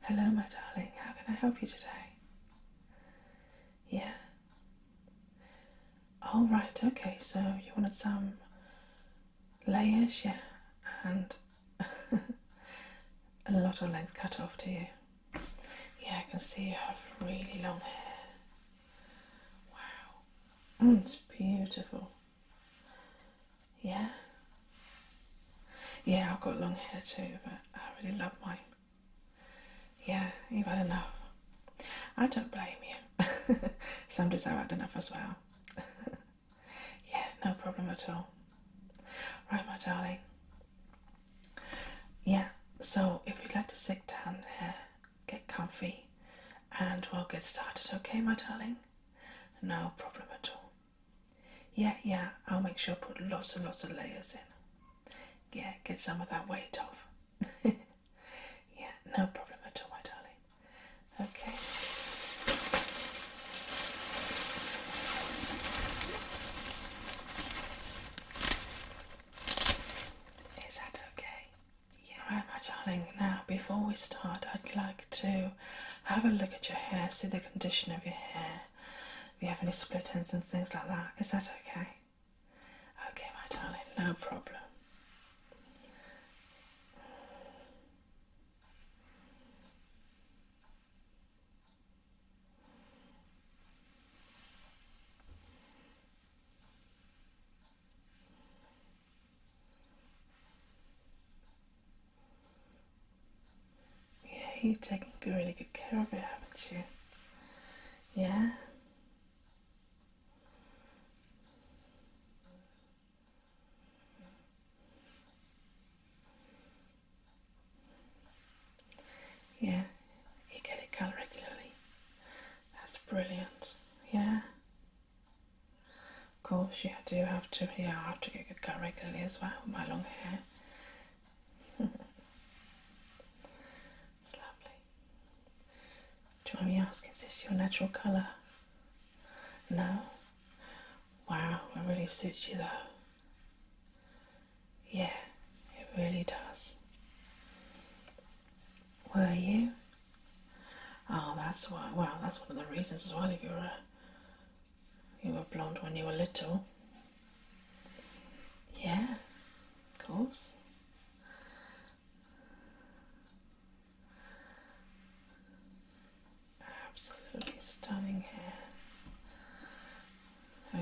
Hello, my darling. How can I help you today? Yeah. All oh, right. Okay. So you wanted some layers, yeah, and a lot of length cut off to you. Yeah, I can see you have really long hair. Wow, it's hmm. beautiful. Yeah. Yeah, I've got long hair too, but I really love mine. Yeah, you've had enough. I don't blame you. Some days I've had enough as well. yeah, no problem at all. Right, my darling. Yeah, so if you'd like to sit down there get comfy, and we'll get started, okay, my darling? No problem at all. Yeah, yeah, I'll make sure I put lots and lots of layers in. Yeah, get some of that weight off. yeah, no problem at all, my darling. Okay. Is that okay? All right, my darling. Now, before we start, I'd like to have a look at your hair, see the condition of your hair, if you have any splittings and things like that. Is that okay? Okay, my darling, no problem. Yeah, you're taking really good care of it, haven't you? Yeah. Yeah, you get it cut regularly. That's brilliant. Yeah. Of course, yeah, I do have to. Yeah, I have to get it cut regularly as well with my long hair. it's lovely. Do you want me to ask? is this your natural colour? No? Wow, it really suits you though. Yeah, it really does. Were you? Oh, that's why. Wow, that's one of the reasons as well. If you were you were blonde when you were little. Yeah, of course. Absolutely stunning hair.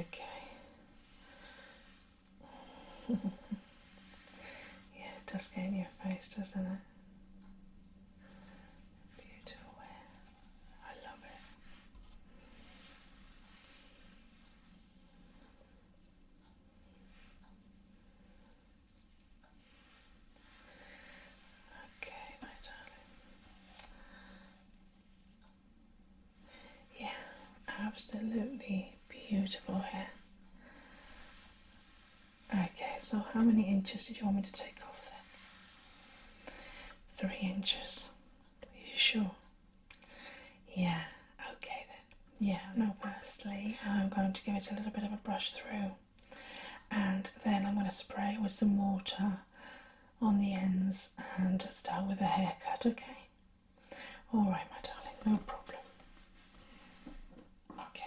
Okay. yeah, it does get in your face, doesn't it? Beautiful I love it. Okay, my darling. Yeah, absolutely Beautiful hair. Okay, so how many inches did you want me to take off then? Three inches. Are you sure? Yeah, okay then. Yeah, no, firstly, I'm going to give it a little bit of a brush through and then I'm going to spray with some water on the ends and start with a haircut, okay? All right, my darling, no problem. Okay. Okay.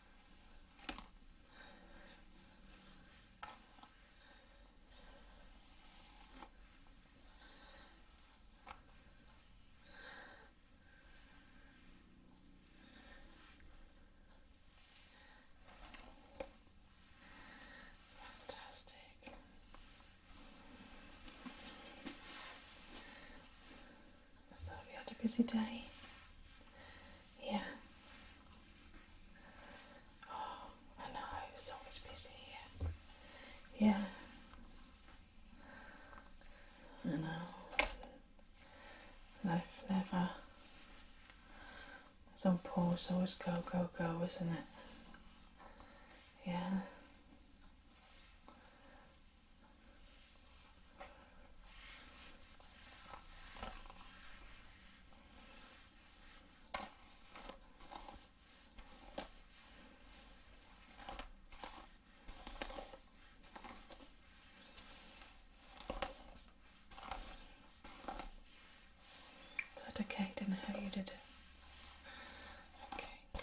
Fantastic. So you had a busy day? Yeah. I know, it's always busy Yeah. I know. Life never. It's on pause, always go, go, go, isn't it? Yeah. Is that okay? Don't know how you did it. Okay, good.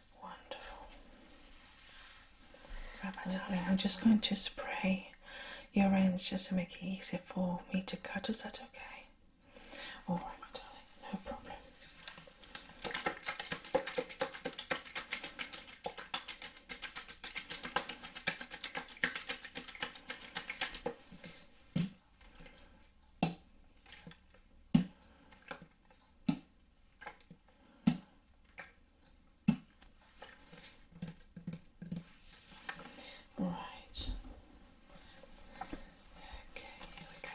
Wonderful. Right, my darling, I'm just going to spray your ends just to make it easy for me to cut. Is that okay? All right, my darling, no problem. All right. Okay, here we go.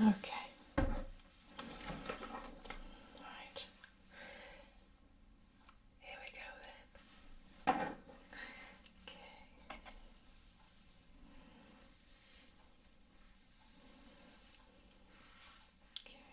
Okay. All right. Here we go then. Okay. Okay.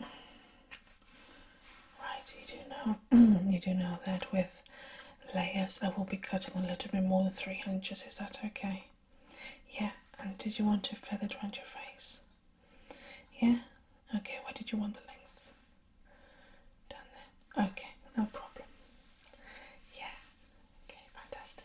Right, you do know, you do know that with layers I will be cutting a little bit more than three inches. Is that okay? Yeah. And did you want to feather around your face? Yeah. Okay. Why did you want the length? Done then. Okay. No problem. Yeah. Okay. Fantastic.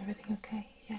Everything okay? Yeah.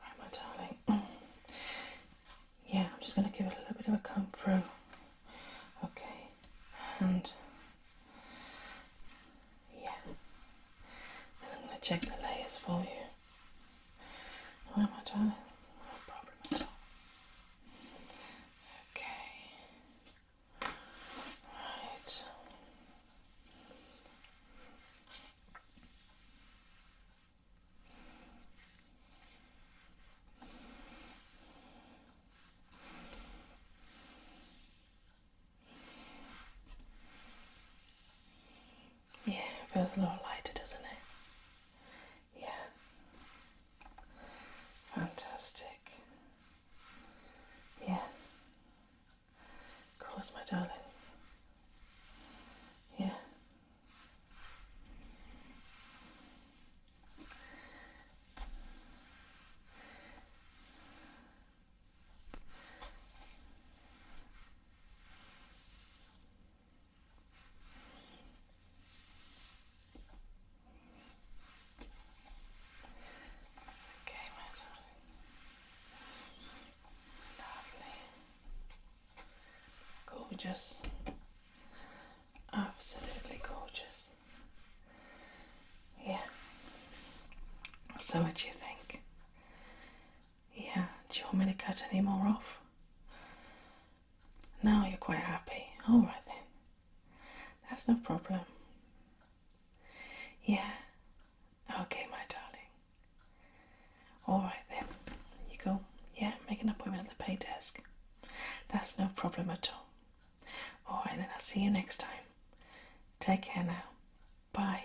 Right, my darling. Yeah, I'm just going to give it a little bit of a comb through. Okay, and yeah, then I'm going to check the layers for you. Why am I done? No problem Okay. Right. Yeah, feels a lot lighter, doesn't it? Yeah. Fantastic. Yeah. Of course, my darling. Yeah. Okay, my darling. Lovely. Gorgeous. Absolutely gorgeous. Yeah. So, what do you think? Yeah, do you want me to cut any more off? No, you're quite happy. Alright then. That's no problem. Yeah. Okay, my darling. Alright then. You go. Yeah, make an appointment at the pay desk. That's no problem at all. Alright then, I'll see you next time. Take care now. Bye.